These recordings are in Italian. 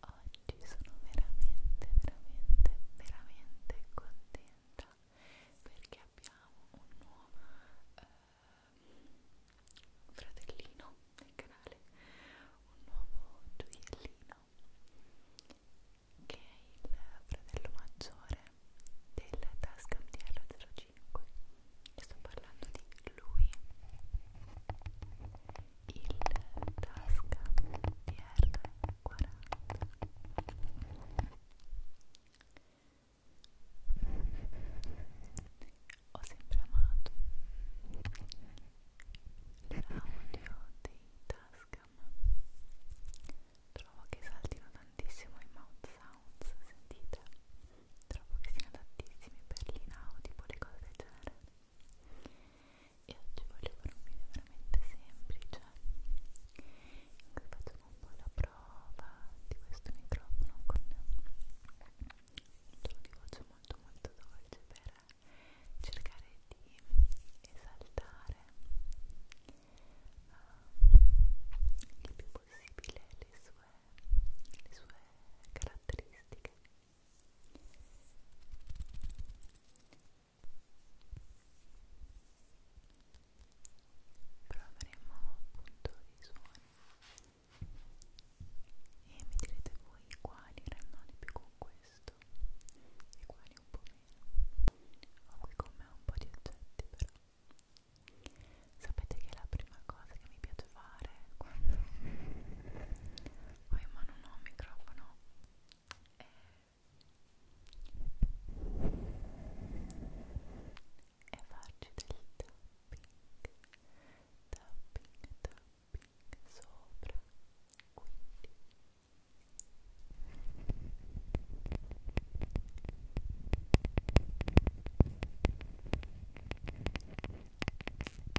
Oggi sono veramente, veramente, veramente contenta perché abbiamo un nuovo eh, fratellino nel canale, un nuovo gioiellino che è il fratello maggiore del Tascam DR05 sto parlando di lui il Tasca DR40 ho sempre amato l'audio dei Tascam trovo che saltino tantissimo i mouth sounds sentite trovo che siano adattissimi per l'inaudi le cose del genere e oggi voglio fare un video veramente semplice in cui facciamo un po' la prova di questo microfono con un tono di voce molto molto dolce per cercare di esaltare uh, il più possibile le sue, le sue caratteristiche però avremo appunto dei suoni e mi direte voi quali rannoni più con questo e quali un po' meno ho qui con me un po' di oggetti però sapete che è la prima cosa che mi piace fare quando ho in mano un microfono e farci del tapping tapping tapping sopra quindi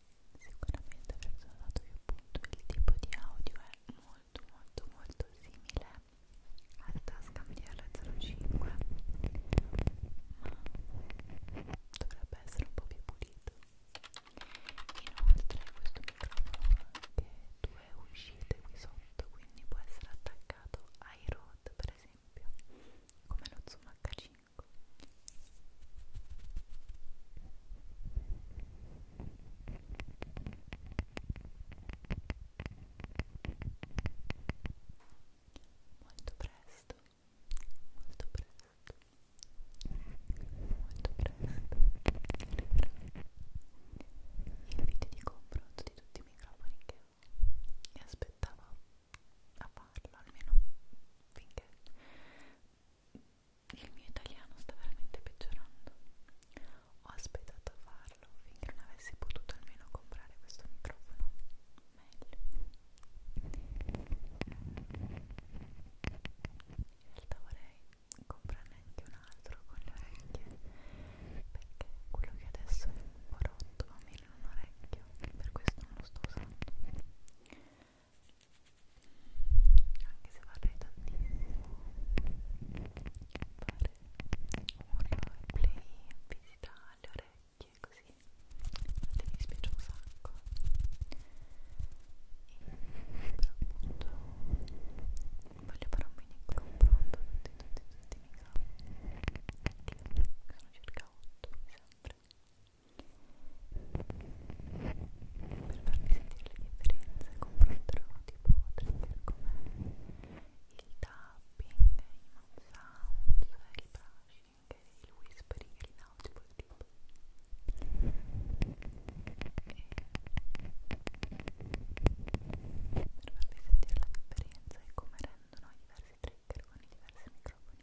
sicuramente avrei usato che appunto il tipo di audio è molto molto molto simile alla tasca MDR05 ma dovrebbe essere un po' più pulito inoltre questo microfono ha anche due uscite qui sotto quindi può essere attaccato ai rod per esempio come lo zoom h5 molto presto molto presto molto presto arriverà il video di confronto di tutti i microfoni che mi aspettavo a farlo almeno finché il mio italiano sta veramente peggiorando. Ho aspettato a farlo finché non avessi potuto almeno comprare questo microfono. Meglio. In realtà vorrei comprarne anche un altro con le orecchie perché quello che adesso è un po' rotto, va meno in un orecchio, per questo non lo sto usando anche se vorrei tantissimo fare un roleplay, visitare le orecchie così infatti mi dispiace un sacco e però appunto voglio fare un mini confronto tutti tutti tutti i miei capi che sono circa 8 mi sembra per farvi sentire le differenze confronterò tipo trigger come il tapping, i mouth sounds, il brushing, il whispering, il nautico tipo e per farvi sentire la differenza e come rendono i diversi trigger con i diversi microfoni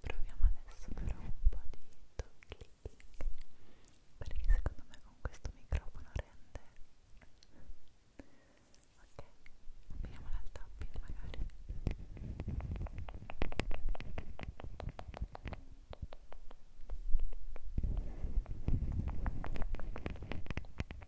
Proviamo adesso però un po' di tocchi perché secondo me con questo microfono rende ok vediamo al tapping magari ok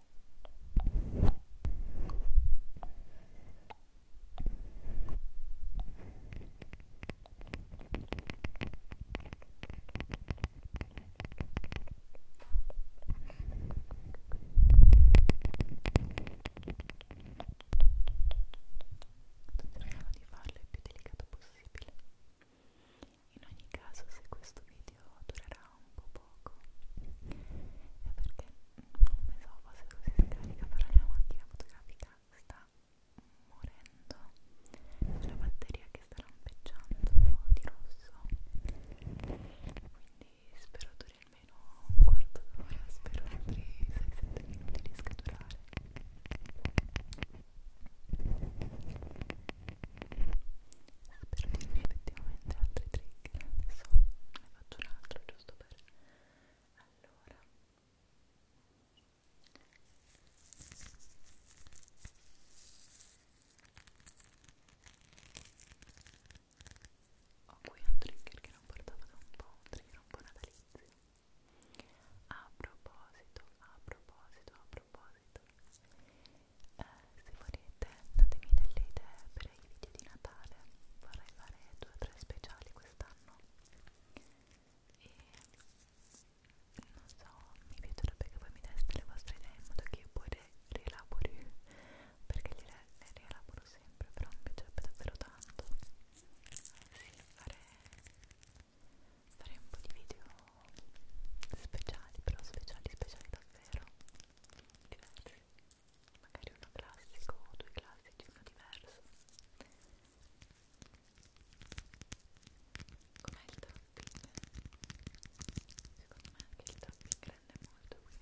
Cerchiamo di farlo il più delicato possibile in ogni caso, se questo video durerà un po' poco, è perché non ne so se così scarica, però la mia macchina fotografica sta morendo. La batteria che sta lampeggiando di rosso. Quindi spero duri almeno un quarto d'ora, spero altri 6-7 minuti di scaturare per dirvi effettivamente altri trigger adesso ne faccio un altro giusto per allora ho qui un trigger che non portavo da un po', un trigger un po' natalizio a proposito, a proposito, a proposito eh, se volete datemi delle idee per i video di Natale vorrei fare due o tre speciali quest'anno e non so, mi piacerebbe che voi mi deste le vostre idee in modo che io poi le rielabori perché le, le rielaboro sempre però mi piacerebbe davvero tanto sì, fare, fare un po' di video speciali però speciali speciali davvero diversi magari uno classico o due classici uno diverso com'è il tapping? secondo me anche il tapping rende molto qui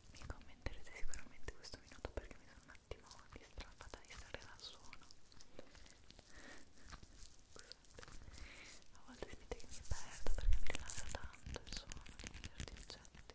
mi commenterete sicuramente questo minuto perché mi sono un attimo distratta di stare dal suono a volte sentite che mi perdo perché mi rilassa tanto il suono di certi oggetti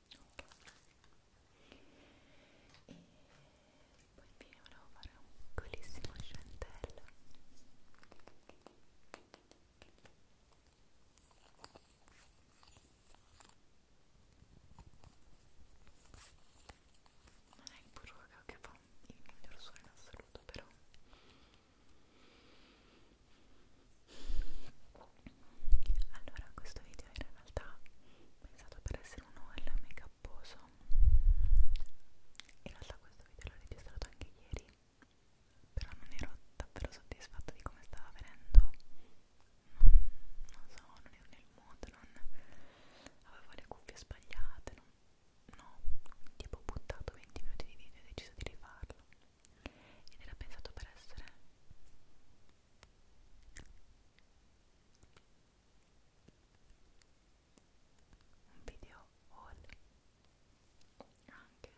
e poi infine volevo fare un piccolissimo scentello non è il burro che fa il miglior suono in assoluto però allora, questo video era in realtà pensato per essere un haul mega poso. In realtà questo video l'ho registrato anche ieri, però non ero davvero soddisfatta di come stava venendo. Non, non so, non ero nel mood, non avevo le cuffie sbagliate, non, no, tipo ho buttato 20 minuti di video e ho deciso di rifarlo ed era pensato per essere un video haul anche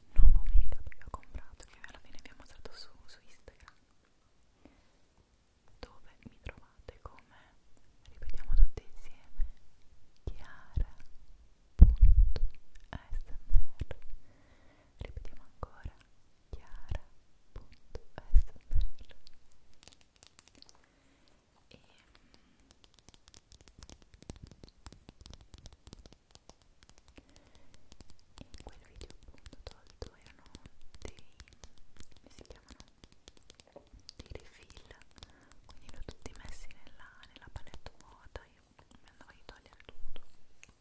di nuovo make-up che ho comprato che alla fine vi ho mostrato su, su Instagram dove mi trovate come ripetiamo tutti insieme chiara.smr ripetiamo ancora chiara.sml e in quel video appunto tolto erano dei come si chiamano? dei refill quindi li ho tutti messi nella, nella palette vuota io mi andavo di togliere tutto però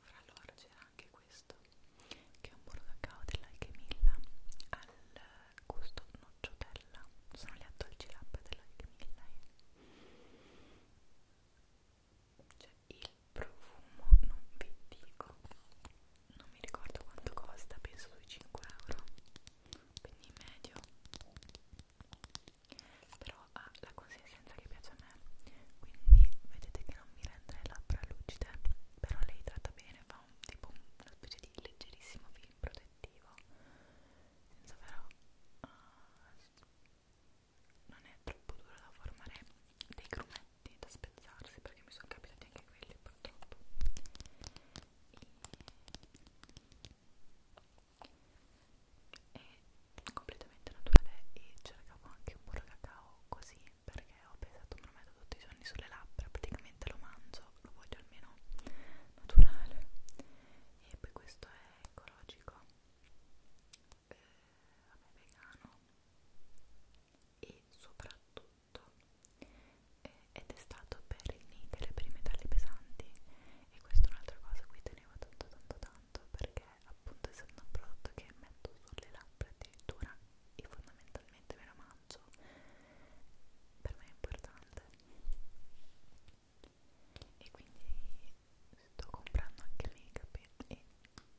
fra loro c'era anche questo che è un burro cacao dell'Alchemilla al gusto nocciotella sono le addolci labbra dell'Alchemilla eh. cioè il profumo non vi dico non mi ricordo quanto costa penso sui 5 euro quindi in medio però ha la consistenza che piace a me quindi vedete che non mi rende le labbra lucide però lei tratta bene fa un, tipo una specie di leggerissimo film protettivo senza però uh, non è troppo dura da formare dei grumetti da spezzarsi perché mi sono capitati anche quelli purtroppo e... è completamente naturale e cercavo anche un burro cacao così perché ho pensato me lo metto tutti i giorni sulle labbra praticamente lo mangio lo voglio almeno naturale e poi questo è ecologico eh, vabbè vegano e soprattutto prodotto eh, ed è stato per il nichel, per i metalli pesanti e questa è un'altra cosa a cui tenevo tanto tanto tanto perché appunto essendo un prodotto che metto sulle labbra addirittura e fondamentalmente me lo mangio per me è importante e quindi sto comprando anche make up e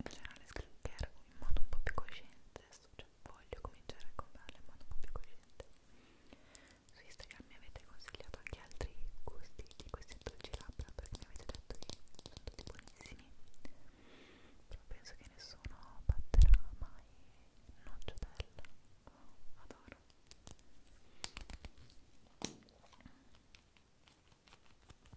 facendo le skincare in modo un po' più cosciente adesso cioè, voglio cominciare a comprarle in modo un po' più cosciente su Instagram mi avete consigliato anche altri gusti di questi dolci labbra perché mi avete detto che sono tutti buonissimi però penso che nessuno batterà mai nocciotella oh, adoro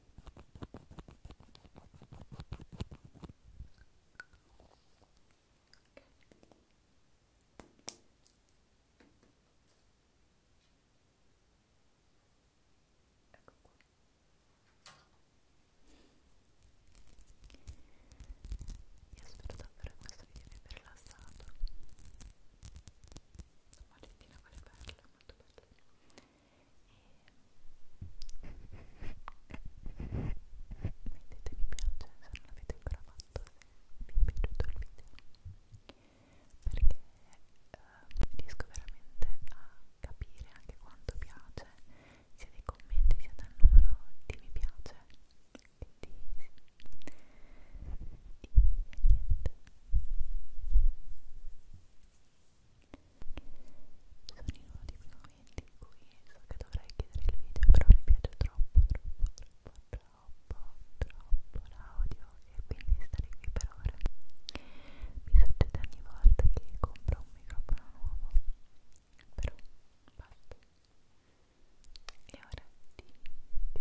Ecco qua. Io spero davvero che questo video vi abbia rilassato. Argentina quelle perle, molto belle mettete mi piace se non l'avete ancora fatto se vi è piaciuto il video perché eh, riesco veramente a capire anche quanto piace sia dei commenti sia dal numero di mi piace e di, di niente sono in uno di quei momenti in cui so che dovrei chiedere il video, però mi piace troppo, troppo, troppo, troppo, troppo l'audio e quindi stare qui per ore. Mi succede ogni volta che compro un microfono nuovo, però basta. E ora di chiudere il video.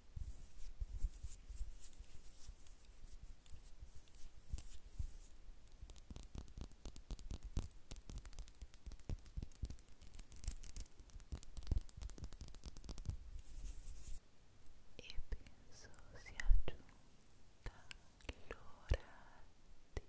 E penso sia giunta l'ora di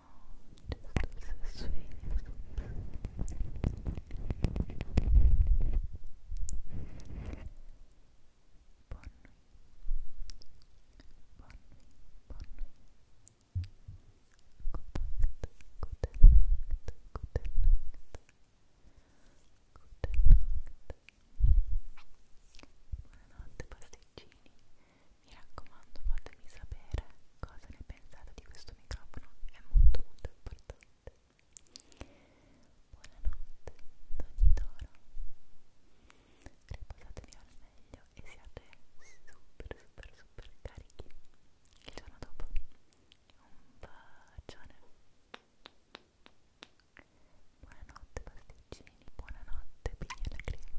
just as sweet Buonanotte pasticcini, mi raccomando fatemi sapere cosa ne pensate di questo microfono è molto molto importante buonanotte ogni toro riposatevi al meglio e siate super super super carichi il giorno dopo un bacione buonanotte pasticcini buonanotte pigna alla crema